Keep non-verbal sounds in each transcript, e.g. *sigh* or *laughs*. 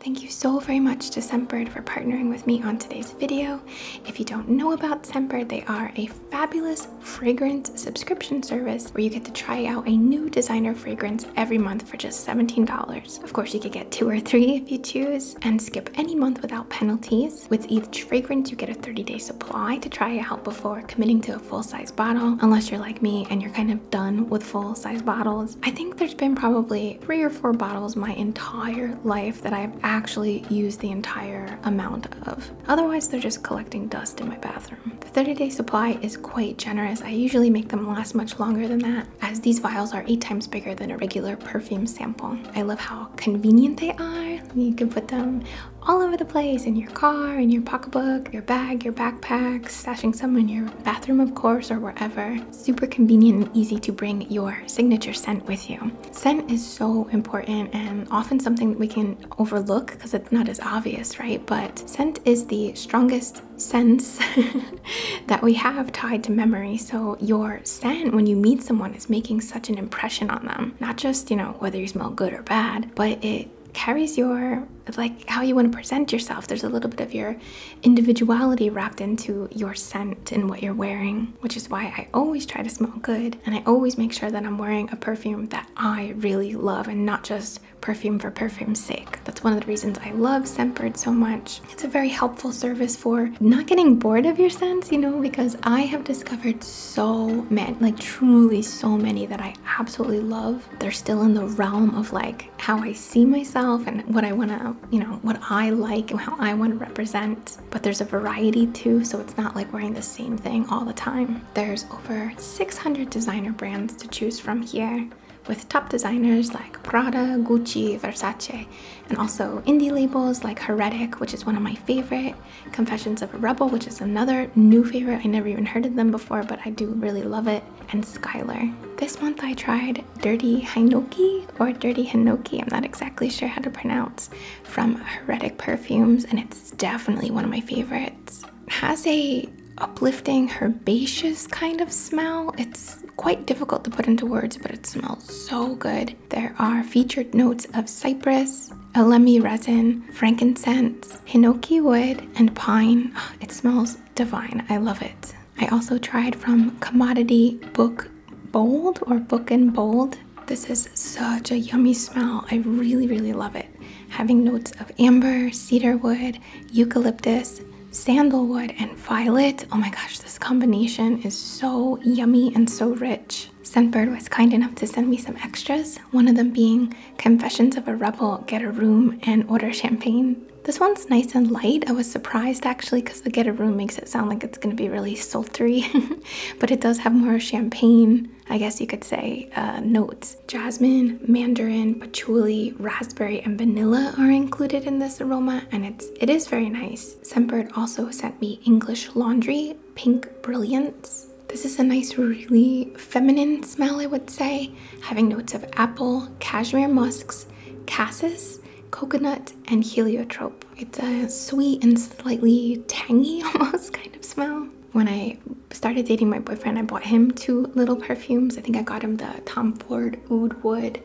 Thank you so very much to Scentbird for partnering with me on today's video. If you don't know about Scentbird, they are a fabulous fragrance subscription service where you get to try out a new designer fragrance every month for just $17. Of course, you could get two or three if you choose and skip any month without penalties. With each fragrance, you get a 30-day supply to try it out before committing to a full-size bottle, unless you're like me and you're kind of done with full size bottles. I think there's been probably three or four bottles my entire life that I've actually used the entire amount of. Otherwise, they're just collecting dust in my bathroom. The 30 day supply is quite generous. I usually make them last much longer than that, as these vials are eight times bigger than a regular perfume sample. I love how convenient they are. You can put them all over the place in your car, in your pocketbook, your bag, your backpack, stashing some in your bathroom, of course, or wherever super convenient and easy to bring your signature scent with you. Scent is so important and often something that we can overlook because it's not as obvious, right? But scent is the strongest sense *laughs* that we have tied to memory. So your scent when you meet someone is making such an impression on them. Not just, you know, whether you smell good or bad, but it carries your like how you want to present yourself there's a little bit of your individuality wrapped into your scent and what you're wearing, which is why I always try to smell good and I always make sure that I'm wearing a perfume that I really love and not just perfume for perfume's sake. That's one of the reasons I love Scentbird so much. It's a very helpful service for not getting bored of your scents, you know, because I have discovered so many, like truly so many that I absolutely love. They're still in the realm of like how I see myself and what I want to, you know, what I like and how I want to represent. But there's a variety too, so it's not like wearing the same thing all the time. There's over 600 designer brands to choose from here with top designers like Prada, Gucci, Versace, and also indie labels like Heretic, which is one of my favorite, Confessions of a Rebel, which is another new favorite. I never even heard of them before, but I do really love it, and Skylar. This month I tried Dirty Hinoki or Dirty Hinoki, I'm not exactly sure how to pronounce, from Heretic Perfumes, and it's definitely one of my favorites. has a uplifting herbaceous kind of smell. It's quite difficult to put into words, but it smells so good. There are featured notes of cypress, alemi resin, frankincense, hinoki wood, and pine. Ah, it smells divine. I love it. I also tried from Commodity Book Bold or Book and Bold. This is such a yummy smell. I really, really love it. Having notes of amber, cedarwood, eucalyptus, sandalwood, and violet. Oh my gosh, this combination is so yummy and so rich. Scentbird was kind enough to send me some extras, one of them being Confessions of a Rebel, Get a Room, and Order Champagne. This one's nice and light. I was surprised actually because the get a room makes it sound like it's going to be really sultry, *laughs* but it does have more champagne, I guess you could say, uh, notes. Jasmine, mandarin, patchouli, raspberry, and vanilla are included in this aroma, and it's it is very nice. Scentbird also sent me English Laundry Pink Brilliance. This is a nice, really feminine smell, I would say, having notes of apple, cashmere musks, cassis, coconut, and heliotrope. It's a sweet and slightly tangy *laughs* almost kind of smell. When I started dating my boyfriend, I bought him two little perfumes. I think I got him the Tom Ford Oud Wood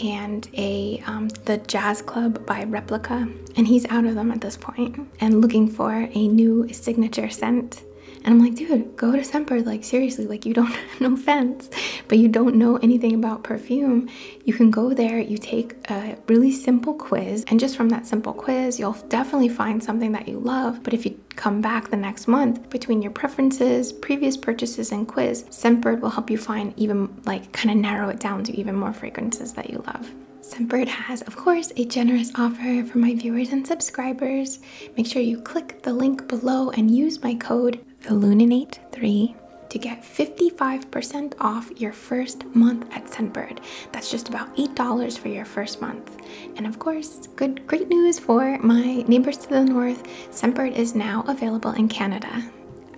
and a um, the Jazz Club by Replica, and he's out of them at this point and looking for a new signature scent. And I'm like, dude, go to Semper. Like seriously, like you don't. *laughs* no offense, but you don't know anything about perfume, you can go there, you take a really simple quiz, and just from that simple quiz, you'll definitely find something that you love. But if you come back the next month, between your preferences, previous purchases, and quiz, Scentbird will help you find even like kind of narrow it down to even more fragrances that you love. Scentbird has, of course, a generous offer for my viewers and subscribers. Make sure you click the link below and use my code Illuminate 3 to get 55% off your first month at Scentbird. That's just about $8 for your first month. And of course, good great news for my neighbors to the north, Scentbird is now available in Canada.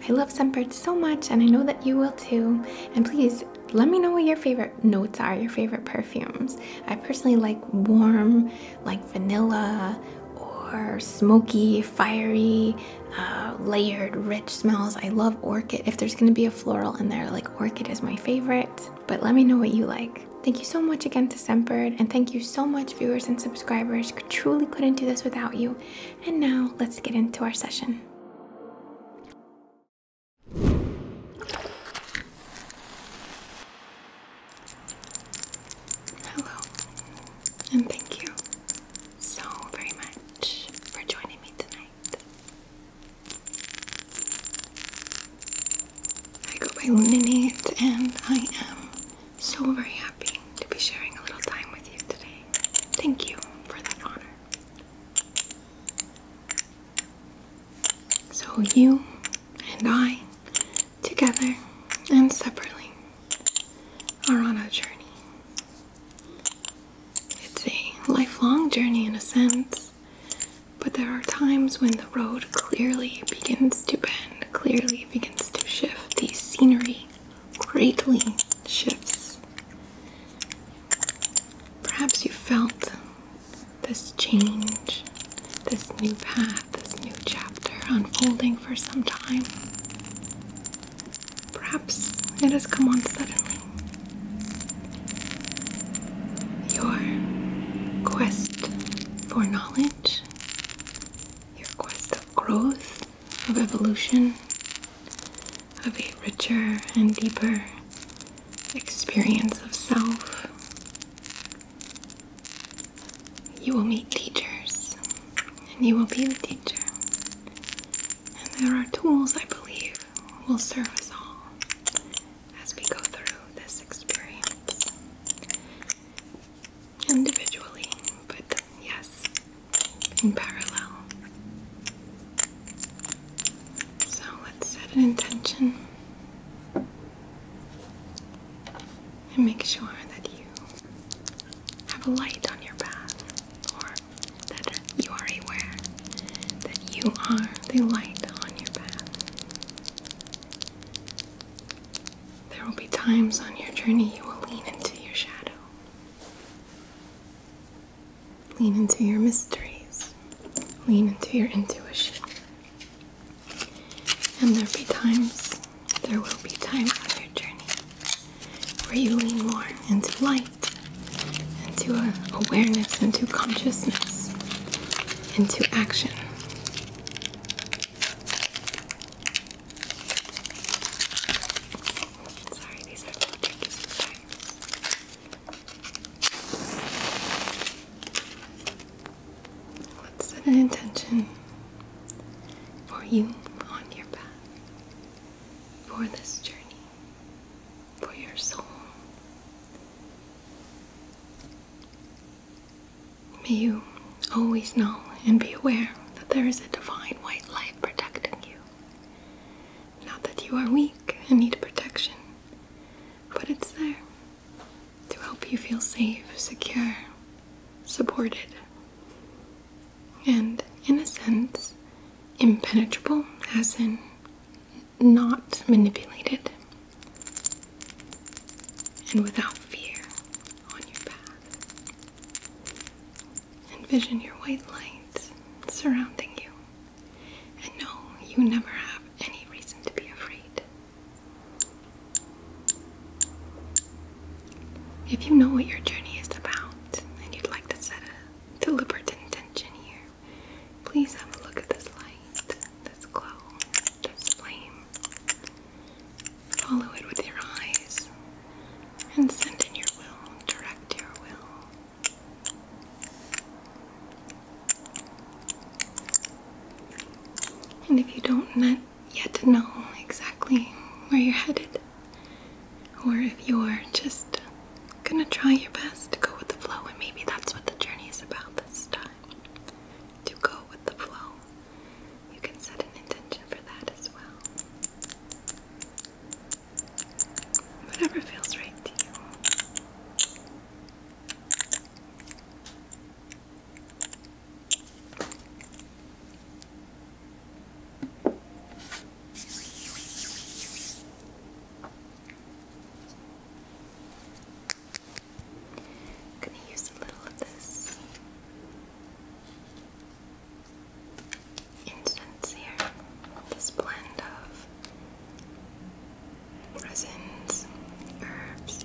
I love Scentbird so much and I know that you will too. And please let me know what your favorite notes are, your favorite perfumes. I personally like warm, like vanilla or smoky, fiery, uh, layered, rich smells. I love orchid. If there's gonna be a floral in there, like orchid is my favorite. But let me know what you like. Thank you so much again to Sempered, and thank you so much, viewers and subscribers. Truly couldn't do this without you. And now let's get into our session. Hello, and thank you so very much for joining me tonight. I go by Luninate, and I am so very happy to be sharing a little time with you today. Thank you for that honor. So, you and I together and separately are on a journey. It's a lifelong journey in a sense, but there are times when the road clearly begins to bend, clearly begins to shift. The scenery greatly shifts. Perhaps you felt this change, this new path this new chapter unfolding for some time. Perhaps it has come on suddenly. Your quest for knowledge, your quest of growth, of evolution, of a richer and deeper experience of self you will meet teachers, and you will be the teacher. And there are tools I believe will serve us all as we go through this experience. Individually, but yes, in parallel. So let's set an intention. And make sure that you have a light on your path, or that you are aware that you are the light on your path. There will be times on your journey you will lean into your shadow, lean into your mysteries, lean into your intuition. And there'll be times, there will be times on your journey where you lean more into light, into awareness, into consciousness, into action. Sorry, these are little tricky Let's set an intention for you on your path, for this journey, for your soul. May you always know and be aware that there is a divine white light protecting you. Not that you are weak and need protection, but it's there to help you feel safe, secure, supported, and in a sense, impenetrable, as in not manipulated, and without fear on your path. Envision your white light surrounding you, and know you never have any reason to be afraid. If you know what your journey is about and you'd like to set a deliberate intention here, please have a look at this light, this glow, this flame. Follow it with your eyes and send in your will, direct your will. And if you don't yet to know exactly where you're headed, or if you're just gonna try your best to go with the flow, and maybe that's what the journey is about this time to go with the flow. You can set an intention for that as well. Whatever feels right to you. I'm going to use a little of this incense here, this blend of resins, herbs,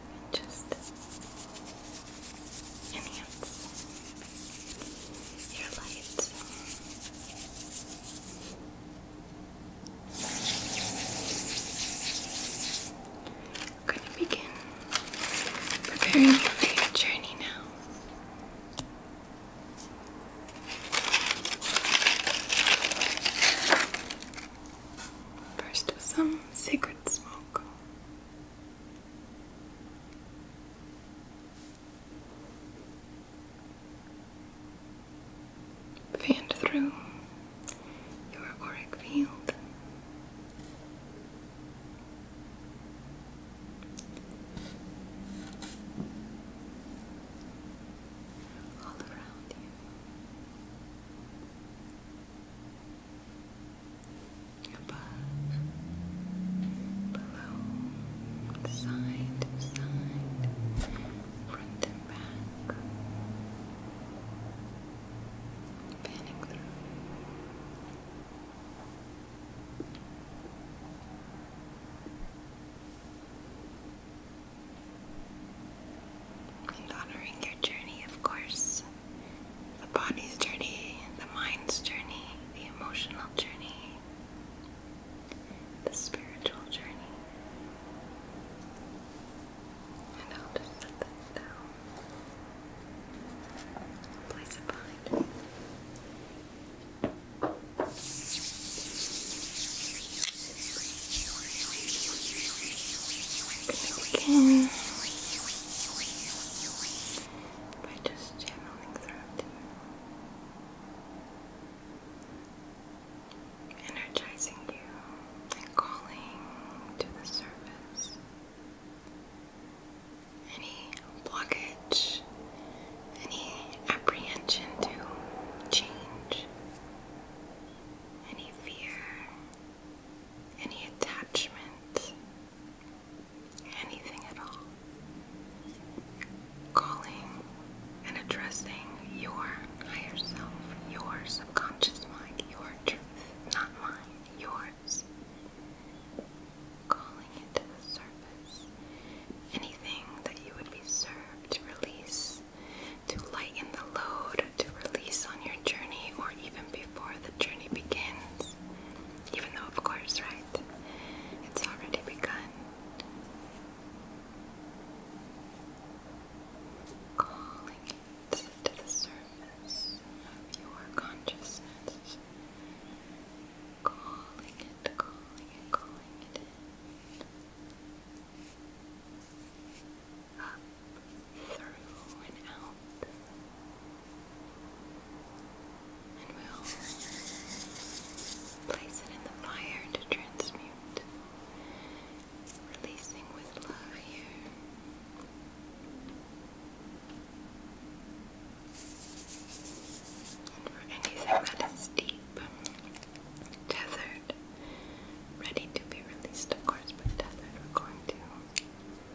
and just enhance your light. I'm going to begin preparing for your journey now. First, with some sacred smoke. Fanned through your auric field. All around you above, below, side to side, front and back, panning through. And honoring your journey, of course the body's journey, the mind's journey, the emotional journey, the spiritual journey. And I'll just set that down. Place it behind. Begin by just channeling through energizing you and calling to the surface any blockage, any apprehension to change, any fear any attachment, anything at all. Calling and addressing your higher self, your subconscious mind, your truth, not mine, yours. Calling it the surface. Anything that you would be served to release, to lighten the load, to release on your journey, or even before before the journey begins. Even though, of course, right? It's already begun. Calling it to the surface of your consciousness. Calling it, calling it, calling it through and out. And we'll place it in the fire to transmute, releasing with love here. for anything that is deep, tethered, ready to be released, of course, but tethered, we're going to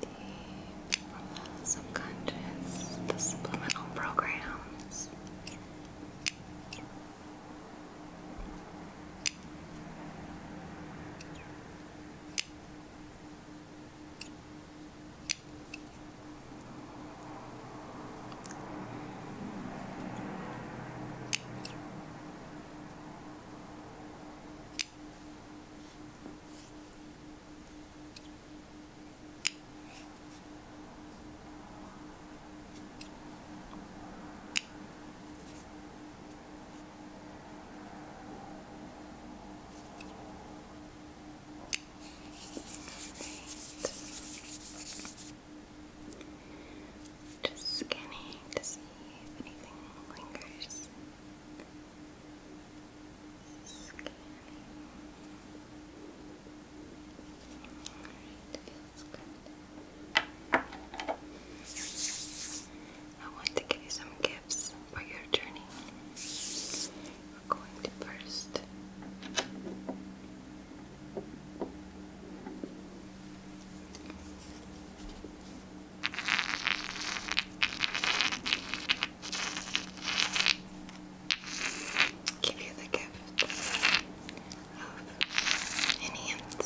the subconscious, the subliminal programs. Right. Just scanning to see if anything lingers. Scanning. I want to give you some gifts for your journey. We're going to first Give you the gift of enhanced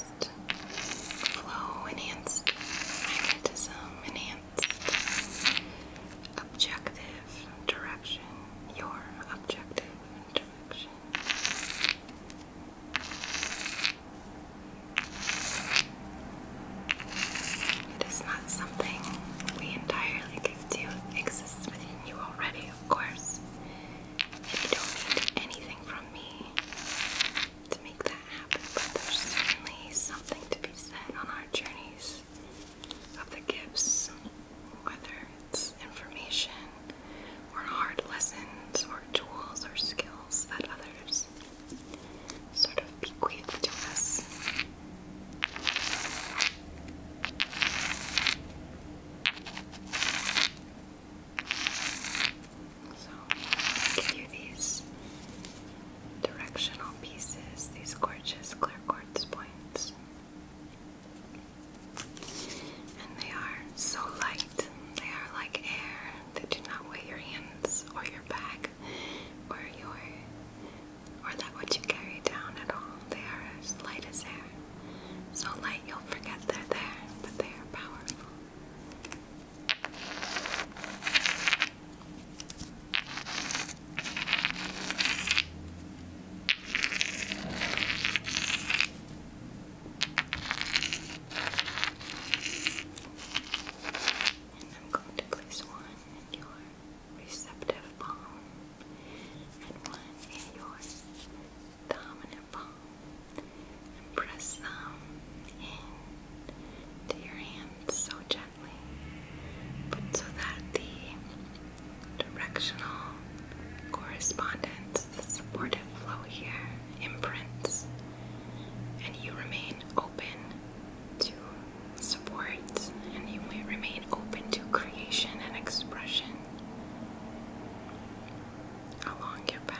flow, enhanced magnetism, enhanced objective direction, your objective direction. It is not something we entirely give to. It within you already, of course. you don't need anything from me to make that happen, but there's certainly something to be said on our journeys of the gifts, whether it's information or hard lessons or tools or skills that others sort of bequeathed to us. So, give you these directional pieces, these gorgeous clear quartz points. And they are so light, they are like air that do not weigh your hands or your back or your or that which you carry down at all. They are light as air. So light you'll forget they're there, but they are powerful. And I'm going to place one in your receptive palm and one in your dominant palm. And press them in your hands so gently, but so that the directional correspondence, the supportive flow here imprints, and you remain open to support, and you remain open to creation and expression along your path.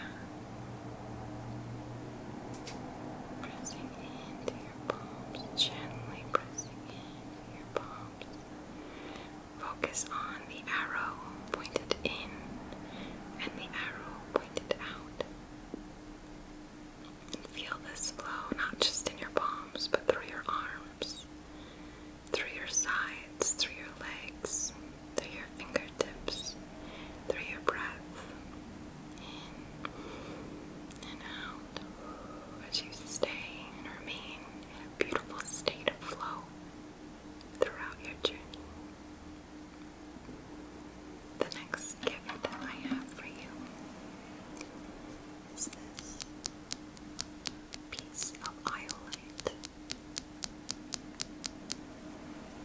Pressing into your palms, gently pressing into your palms. Focus on the arrow pointed in and the arrow pointed out. Feel this flow not just in your palms, but through your arms, through your sides, through your legs, through your fingertips, through your breath. In and out as you stay and remain in a beautiful state of flow throughout your journey. The next gift that I have for you is this piece of iolite.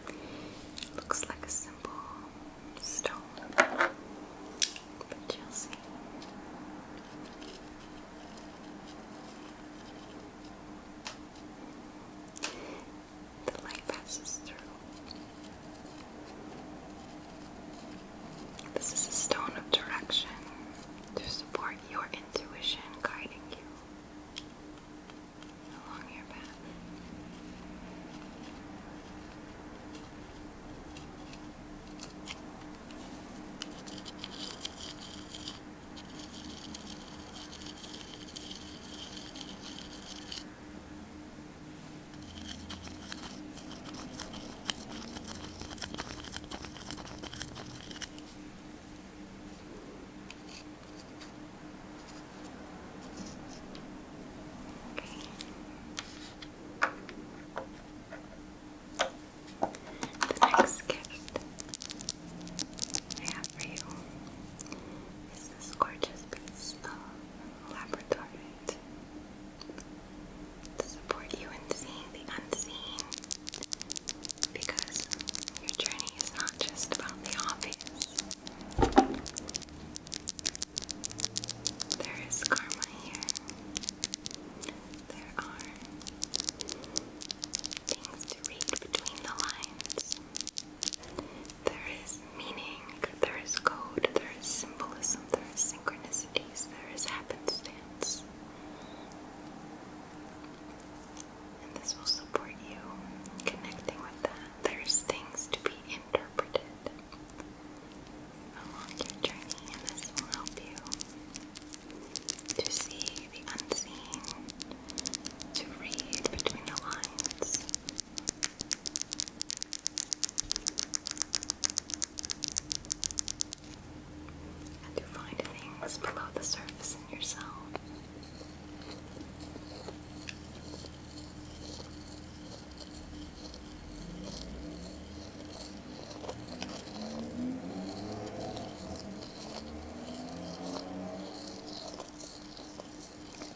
It looks like a simple stone, but you'll see the light passes through. This is a stone of direction to support your intuition guiding you along your path. The next gift I have have you this gorgeous piece of laboratory to support you in the unseen because your journey is not just about the obvious. There is karma here. There are things to read between the lines. There is meaning, there is code, there is symbolism, there is synchronicities, there is happenstance. And this will support you connecting with that. There's things to be interpreted along your journey, and this will help you to see the unseen, to read between the lines. And you find things below the surface in yourself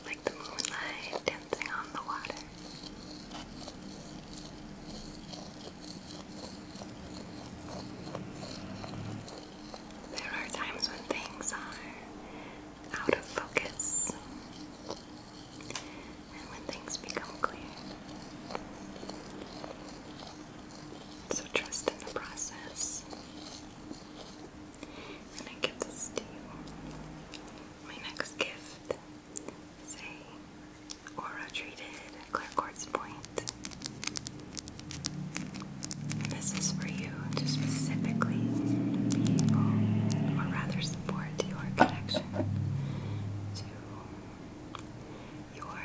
like the moonlight dancing on the water. There are times when things are out of focus and when things become clear. So trust in the process. And I give this to you. My next gift is a aura treated clear quartz point. this is for you to specifically be able, or rather support your connection to your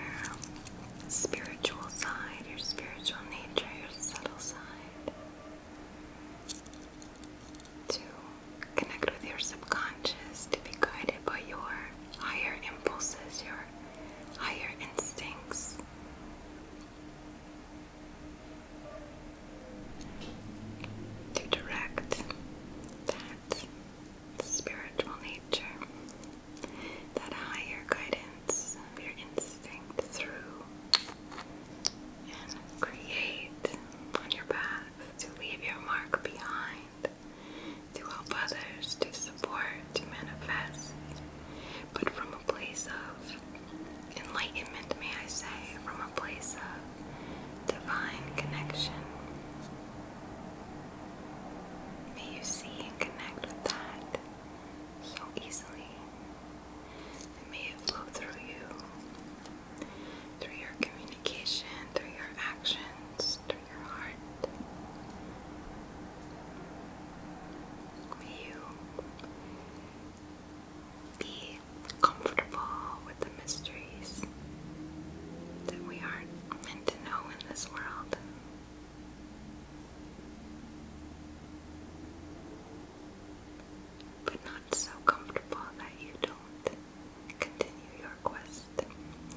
spiritual side, your spiritual nature, your subtle side to connect with your subconscious, to be guided by your higher impulses, your higher instincts. To direct that spiritual nature, that higher guidance your instinct through and create on your path to leave your mark behind, to help others, to support, to manifest, but from a place of enlightenment, may I say, from a place of divine connection. May you see and connect with that so easily may it flow through you, through your communication, through your actions, through your heart. be comfortable with the mysteries that we aren't meant to know in this world but not so comfortable that you don't continue your quest,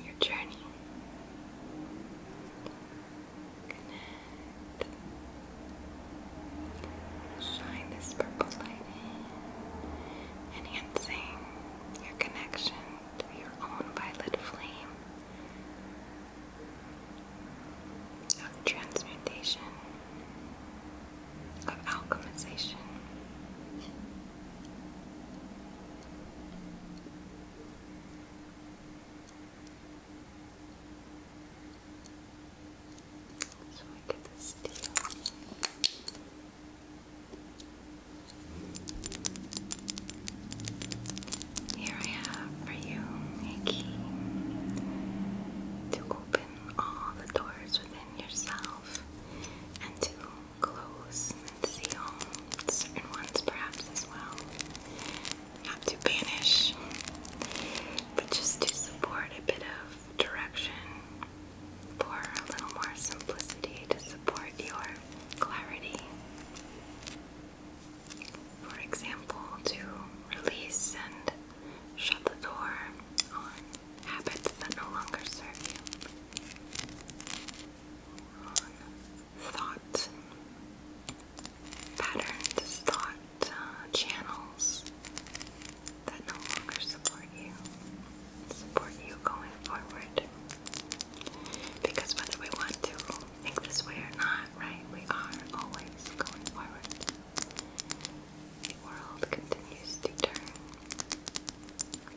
your journey. Shine this purple light enhancing your connection to your own violet flame of transmutation, of alchemization. So I get the steel. Here I have for you a to open all the doors within yourself and to close and seal certain ones perhaps as well. Not to banish, but just to support a bit of direction for a little more simplicity to support your clarity for example, to release and shut the door on habits that no longer serve you, on thought patterns, thought uh, channels that no longer support you, support you going forward. Because whether we want to think this way or not, right, we are always going forward. The world continues to turn.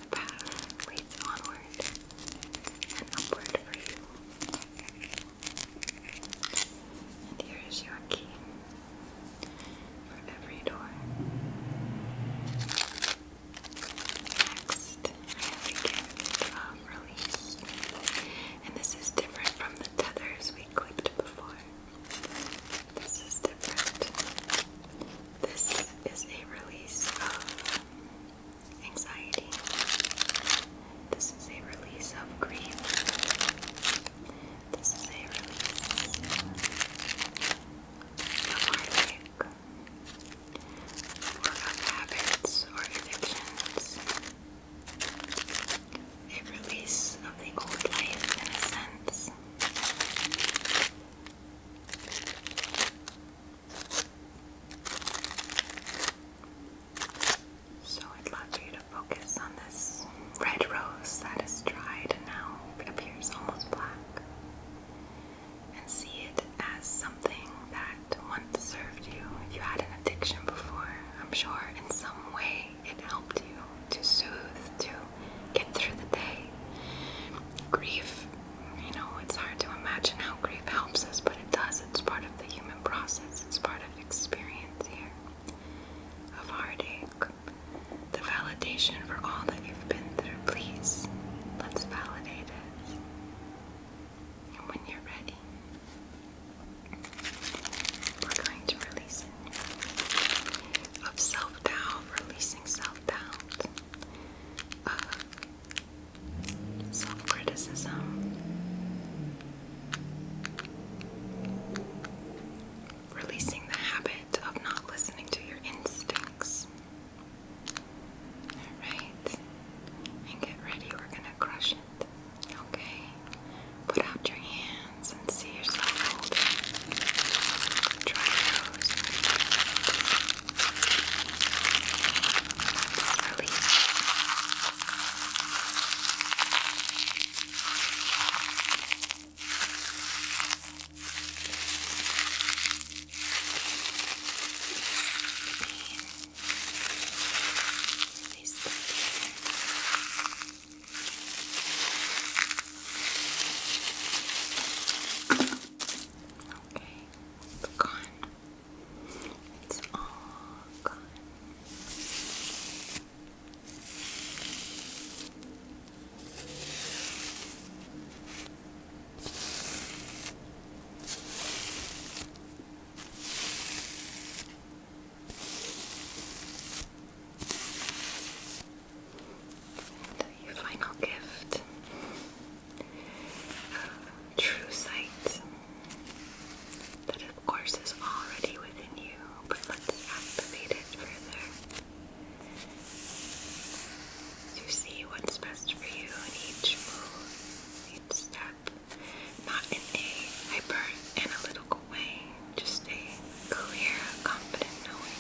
The path leads onward and upward for you. And here is your key for every door. Next, I have a release. And this is different from the tethers clipped before. This is different. This is a release of anxiety. This is a release of grief. This is a release of heartache, or habits or addictions a release of the old life in a sense. So I'd love for you to focus on this red rose that is dried and now appears almost black. And see it as something that once served you. you had an addiction before, I'm sure in some way it helped you to soothe, to get through the day. Grief, you know, it's hard to imagine how grief helps us, but it does. It's part of the human process, it's part of experience here of heartache. The validation for all that you've been through, please. Let's validate it. And when you're ready, we're going to release it. Of self doubt, releasing self doubt, uh, self criticism, releasing the habit of not listening to your instincts. Alright, and get ready, we're gonna crush it. Okay? Put out your hands and see yourself holding. Try those. let です Okay, it's gone. It's all gone. Okay. And your final gift of true sight that, of course, is already within you, but let's activate it further to see what's best for you in each move, each step not in a hyper analytical way, just a clear, confident knowing.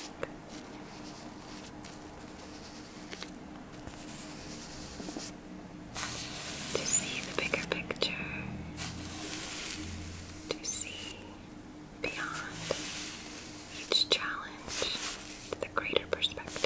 To see the bigger picture, to see beyond each challenge to the greater perspective.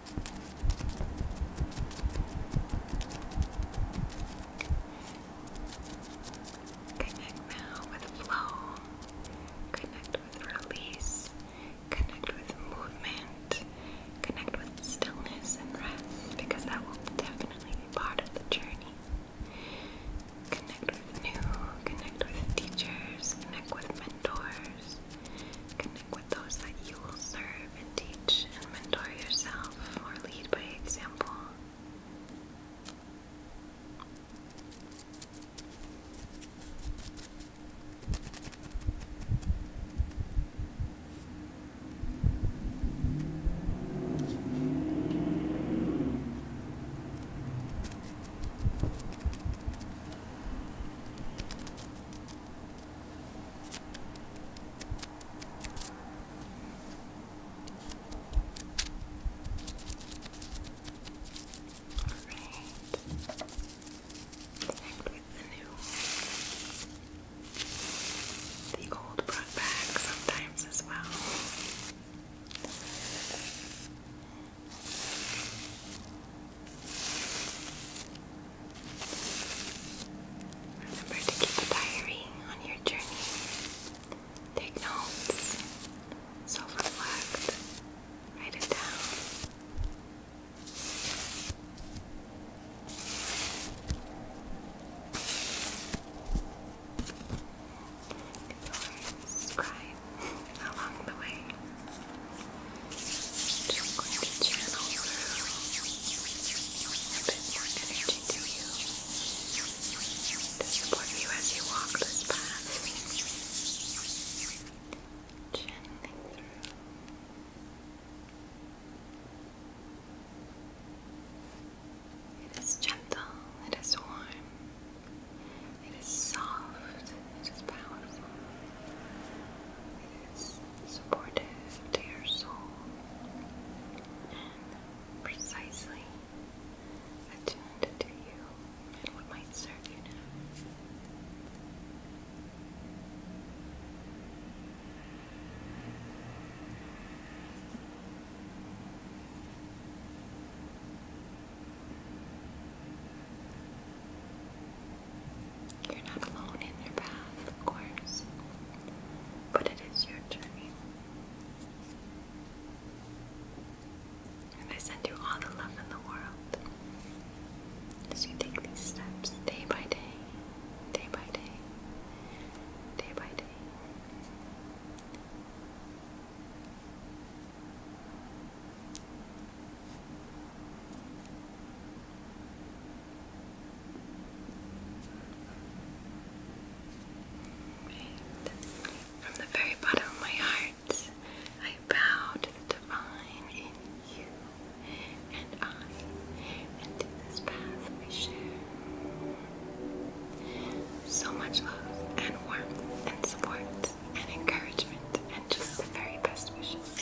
Connect now with flow, connect with release, connect with movement, connect with stillness and rest because that will definitely be part of the journey. Connect with new, connect with teachers, connect with mentors. Connect with those that you will serve and teach and mentor yourself or lead by example. Alright. Connect the old brought back sometimes as well. Remember to keep a diary on your journey. Take notes, self reflect, write it down. You *laughs* along the way to support you as you walk this path. Channeling through. It is gentle, it is warm, it is soft, it is powerful, it is supportive to your soul and precisely attuned to you and what might serve you now. You're not alone in your path, of course, but it is your journey. And I send you all the love in the world as you take these steps day by day, day by day, day by day. And from the very bottom of my heart, I bow to the divine in you and I, and to this path we share. So much love and warmth and support and encouragement and just the very best wishes.